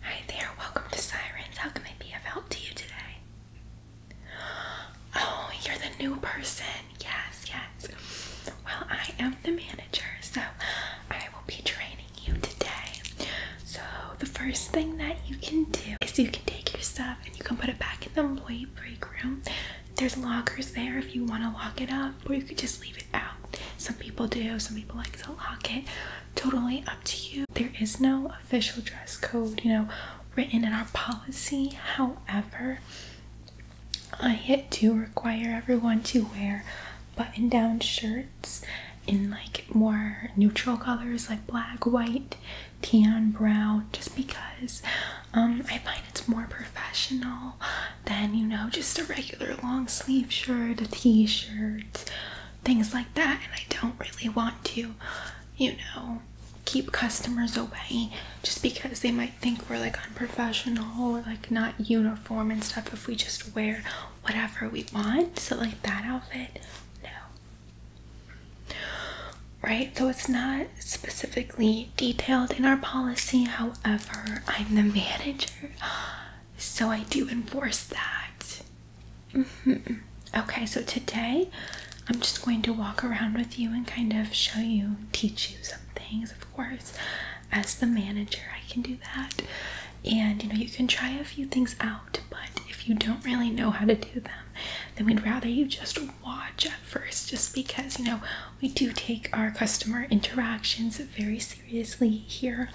Hi there, welcome to Sirens. How can I be of help to you today? Oh, you're the new person. Yes, yes. Well, I am the manager, so I will be training you today. So, the first thing that you can do is you can take your stuff and you can put it back in the employee break room. There's lockers there if you want to lock it up, or you could just leave it out. Some people do, some people like to lock it totally up to you. There is no official dress code, you know, written in our policy. However, I do require everyone to wear button down shirts in like more neutral colors like black, white, tan, brown, just because um, I find it's more professional than, you know, just a regular long sleeve shirt, a t shirt things like that. And I don't really want to, you know, keep customers away just because they might think we're like unprofessional or like not uniform and stuff if we just wear whatever we want. So, like that outfit, no. Right? So, it's not specifically detailed in our policy. However, I'm the manager. So I do enforce that. Mm-hmm. Okay, so today I'm just going to walk around with you and kind of show you, teach you some things, of course. As the manager, I can do that. And you know, you can try a few things out, but if you don't really know how to do them, then we'd rather you just watch at first, just because you know we do take our customer interactions very seriously here,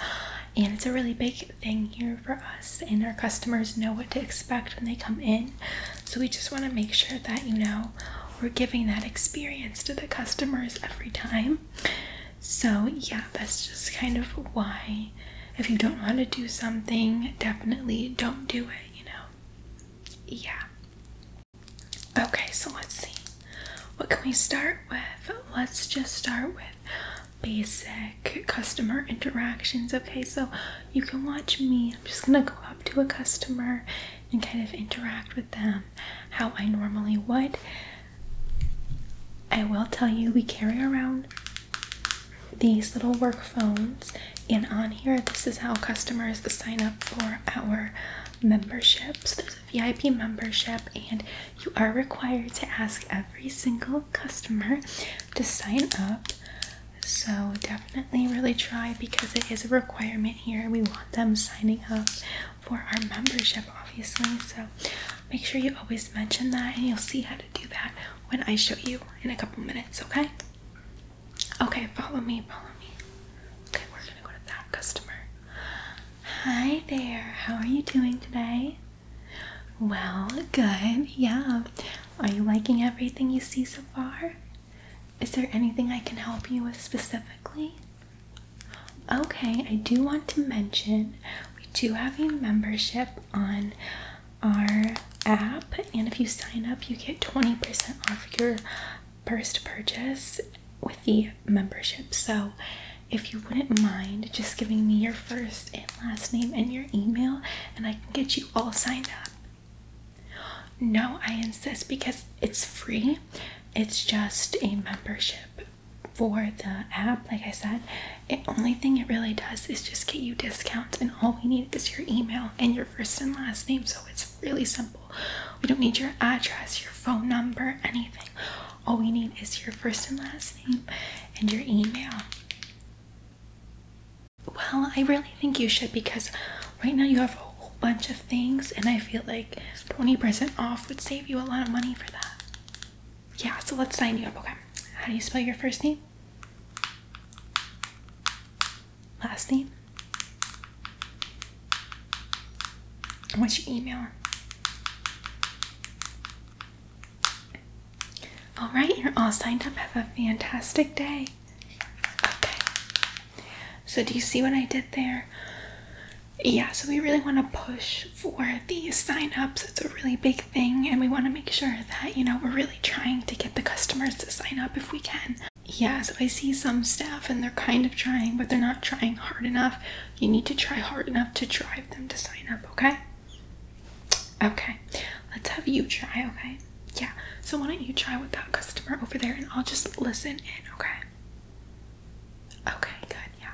and it's a really big thing here for us, and our customers know what to expect when they come in. So we just want to make sure that you know we're giving that experience to the customers every time. So, yeah, that's just kind of why. If you don't know how to do something, definitely don't do it, you know? Yeah. Okay, so let's see. What can we start with? Let's just start with basic customer interactions. Okay, so you can watch me. I'm just gonna go up to a customer and kind of interact with them how I normally would. I will tell you, we carry around these little work phones, and on here, this is how customers sign up for our memberships. VIP membership, and you are required to ask every single customer to sign up. So, definitely really try because it is a requirement here. We want them signing up for our membership, obviously. So, make sure you always mention that, and you'll see how to do that when I show you in a couple minutes, okay? Okay, follow me, follow me. Okay, we're gonna go to that customer. Hi there, how are you doing today? Well, good, yeah. Are you liking everything you see so far? Is there anything I can help you with specifically? Okay, I do want to mention we do have a membership on our app, and if you sign up, you get 20% off your first purchase with the membership. So, if you wouldn't mind just giving me your first and last name and your email, and I can get you all signed up. No, I insist because it's free, it's just a membership for the app. Like I said, the only thing it really does is just get you discounts, and all we need is your email and your first and last name, so it's really simple. We don't need your address, your phone number, anything. All we need is your first and last name and your email. Well, I really think you should because right now you have a whole bunch of things, and I feel like 20% off would save you a lot of money for that. Yeah, so let's sign you up, okay? How do you spell your first name? last name? What's your email? All right, you're all signed up. Have a fantastic day. Okay. So, do you see what I did there? Yeah, so we really want to push for the sign ups. It's a really big thing, and we want to make sure that, you know, we're really trying to get the customers to sign up if we can. Yes, I see some staff and they're kind of trying, but they're not trying hard enough. You need to try hard enough to drive them to sign up, okay? Okay, let's have you try, okay? Yeah, so why don't you try with that customer over there and I'll just listen in, okay? Okay, good, yeah.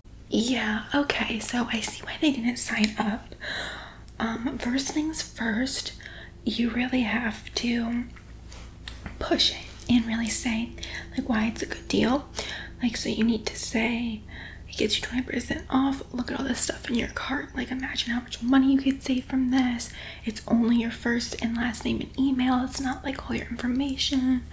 Yeah, okay, so I see why they didn't sign up. Um, first things first, you really have to push it and really say like why it's a good deal. Like so you need to say it gets you 20% off. Look at all this stuff in your cart. Like imagine how much money you could save from this. It's only your first and last name and email. It's not like all your information.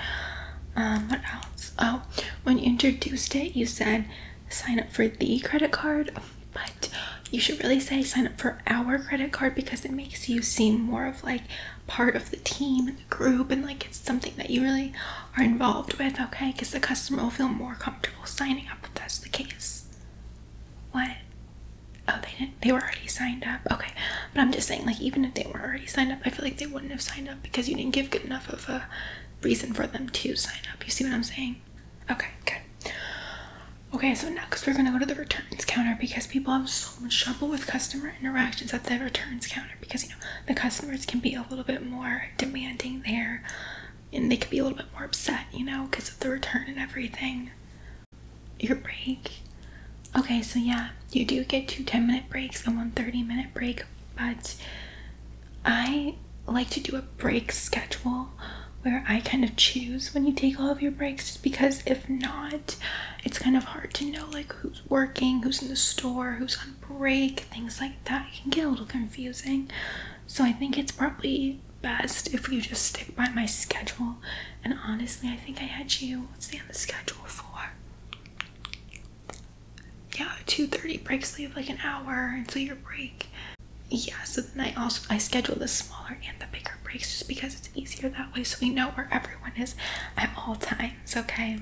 Um, what else? Oh, when you introduced it, you said sign up for the credit card, but you should really say sign up for our credit card because it makes you seem more of like part of the team and the group and like it's something that you really are involved with, okay? Because the customer will feel more comfortable signing up if that's the case. What? Oh, they didn't. They were already signed up. Okay, but I'm just saying, like, even if they were already signed up, I feel like they wouldn't have signed up because you didn't give good enough of a reason for them to sign up. You see what I'm saying? Okay, good. Okay, so next we're gonna go to the returns counter because people have so much trouble with customer interactions at the returns counter because you know the customers can be a little bit more demanding there and they can be a little bit more upset, you know, because of the return and everything. Your break. Okay, so yeah, you do get two 10 minute breaks and one 30 minute break but I like to do a break schedule where I kind of choose when you take all of your breaks just because if not, it's kind of hard to know like who's working, who's in the store, who's on break, things like that. It can get a little confusing. So I think it's probably best if you just stick by my schedule. And honestly, I think I had you, what's the end of the schedule for? yeah, 2.30 breaks leave like an hour until your break. Yeah, so then I also I schedule the smaller and the bigger breaks just because it's easier that way so we know where everyone is at all times, okay?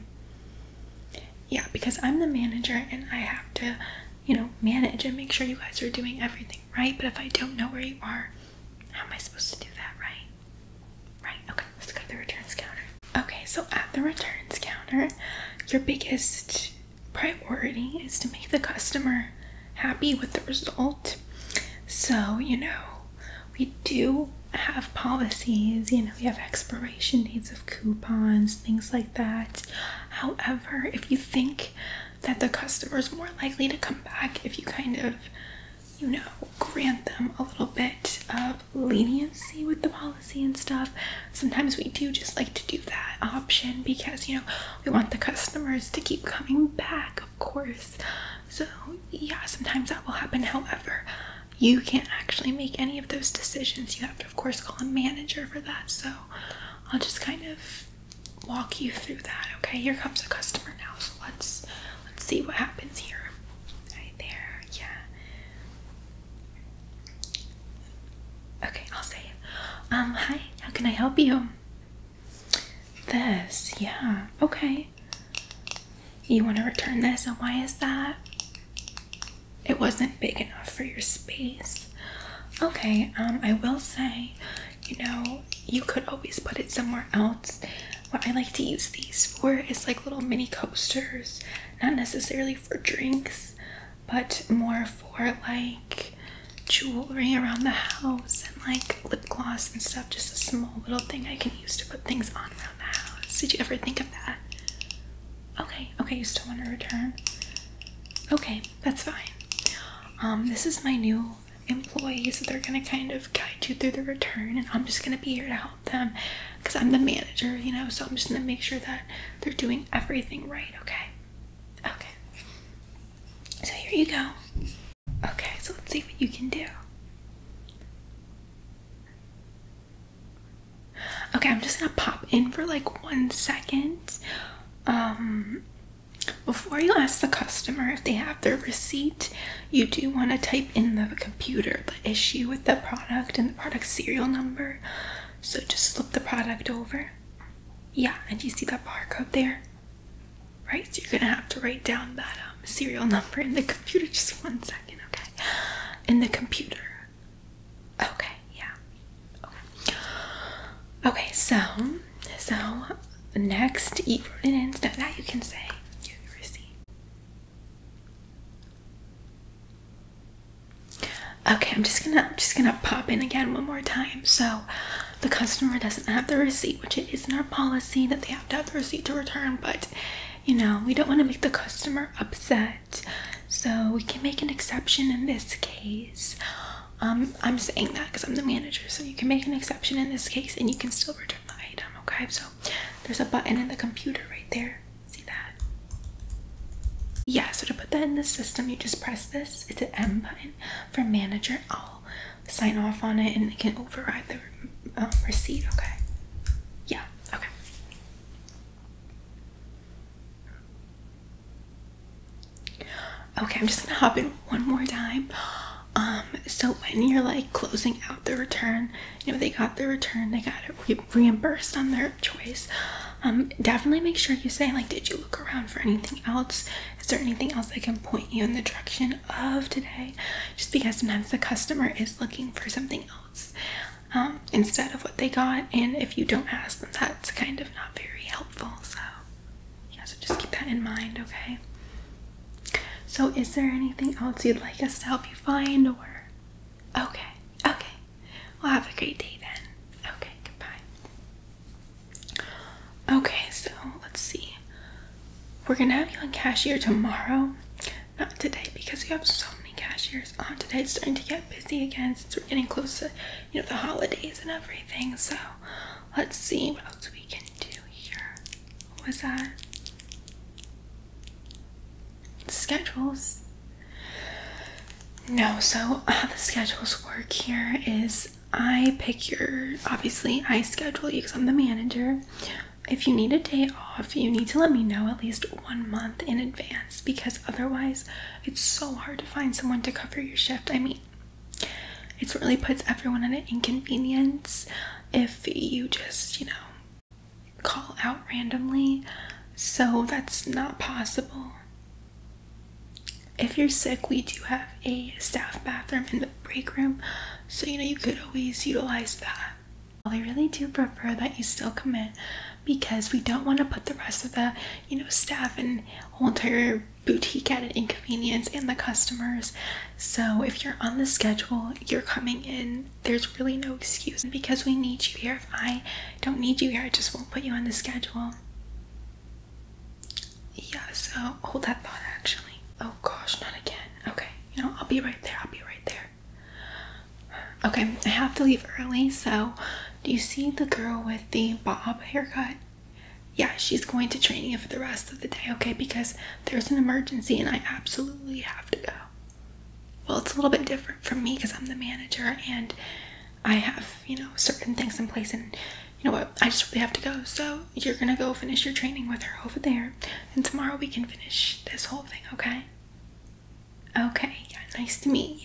Yeah, because I'm the manager and I have to, you know, manage and make sure you guys are doing everything right. But if I don't know where you are, how am I supposed to do that right? Right, okay, let's go to the returns counter. Okay, so at the returns counter, your biggest priority is to make the customer happy with the result. So, you know, we do have policies, you know, we have expiration dates of coupons, things like that. However, if you think that the customer is more likely to come back if you kind of, you know, grant them a little bit of leniency with the policy and stuff. Sometimes we do just like to do that option because you know we want the customers to keep coming back, of course. So, yeah, sometimes that will happen. However, you can't actually make any of those decisions. You have to, of course, call a manager for that. So, I'll just kind of walk you through that. Okay, here comes a customer now. So let's let's see what happens here there. Yeah. Okay, I'll say it. Um, hi, how can I help you? This, yeah, okay. You want to return this, and why is that? It wasn't big enough for your space. Okay, um, I will say, you know, you could always put it somewhere else what I like to use these for is like little mini coasters, not necessarily for drinks, but more for like jewelry around the house and like lip gloss and stuff. Just a small little thing I can use to put things on around the house. Did you ever think of that? Okay, okay, you still want to return? Okay, that's fine. Um, this is my new employees they're going to kind of guide you through the return and i'm just going to be here to help them because i'm the manager you know so i'm just going to make sure that they're doing everything right okay okay so here you go okay so let's see what you can do okay i'm just going to pop in for like one second um before you ask the customer if they have their receipt, you do want to type in the computer the issue with the product and the product serial number. So just slip the product over. Yeah, and you see that barcode there? Right, so you're gonna have to write down that um, serial number in the computer. Just one second, okay? In the computer. Okay, yeah. okay so so next, eat fruit and that you can say. Okay, I'm just gonna just gonna pop in again one more time. So the customer doesn't have the receipt, which it is isn't our policy that they have to have the receipt to return, but you know, we don't want to make the customer upset. So we can make an exception in this case. Um, I'm saying that because I'm the manager, so you can make an exception in this case and you can still return the item, okay? So there's a button in the computer right there. See that? Yeah, so to put that in the system, you just press this. It's an M button for manager. I'll sign off on it and it can override the um, receipt, okay? Yeah, okay. Okay, I'm just gonna hop in one more time. Um, so when you're like closing out the return, you know, they got the return, they got it reimbursed on their choice. Um, definitely make sure you say, like, did you look around for anything else? Is there anything else I can point you in the direction of today? Just because sometimes the customer is looking for something else um, instead of what they got, and if you don't ask them, that's kind of not very helpful. So, yeah, so just keep that in mind, okay? So, is there anything else you'd like us to help you find, or? Okay, okay. Well, have a great day then. Okay, goodbye. Okay, so let's see. We're gonna have you on cashier tomorrow, not today, because we have so many cashiers on today. It's starting to get busy again since we're getting close to, you know, the holidays and everything. So, Let's see what else we can do here. What was that? Schedules. No, so how uh, the schedules work here is I pick your, obviously, I schedule you because I'm the manager. If you need a day off, you need to let me know at least one month in advance because otherwise, it's so hard to find someone to cover your shift. I mean, it really puts everyone at an inconvenience if you just, you know, call out randomly. So that's not possible. If you're sick, we do have a staff bathroom in the break room, so you know you could always utilize that. I really do prefer that you still come in because we don't want to put the rest of the, you know, staff and whole entire boutique at an inconvenience and the customers. So if you're on the schedule, you're coming in, there's really no excuse because we need you here. If I don't need you here, I just won't put you on the schedule. Yeah, so hold that thought actually. Oh gosh, not again. Okay, you know, I'll be right there. I'll be right there. Okay, I have to leave early, so do you see the girl with the bob haircut? Yeah, she's going to training for the rest of the day, okay? Because there's an emergency and I absolutely have to go. Well, it's a little bit different for me because I'm the manager and I have, you know, certain things in place. And you know what? I just really have to go. So you're going to go finish your training with her over there. And tomorrow we can finish this whole thing, okay? Okay, yeah, nice to meet you.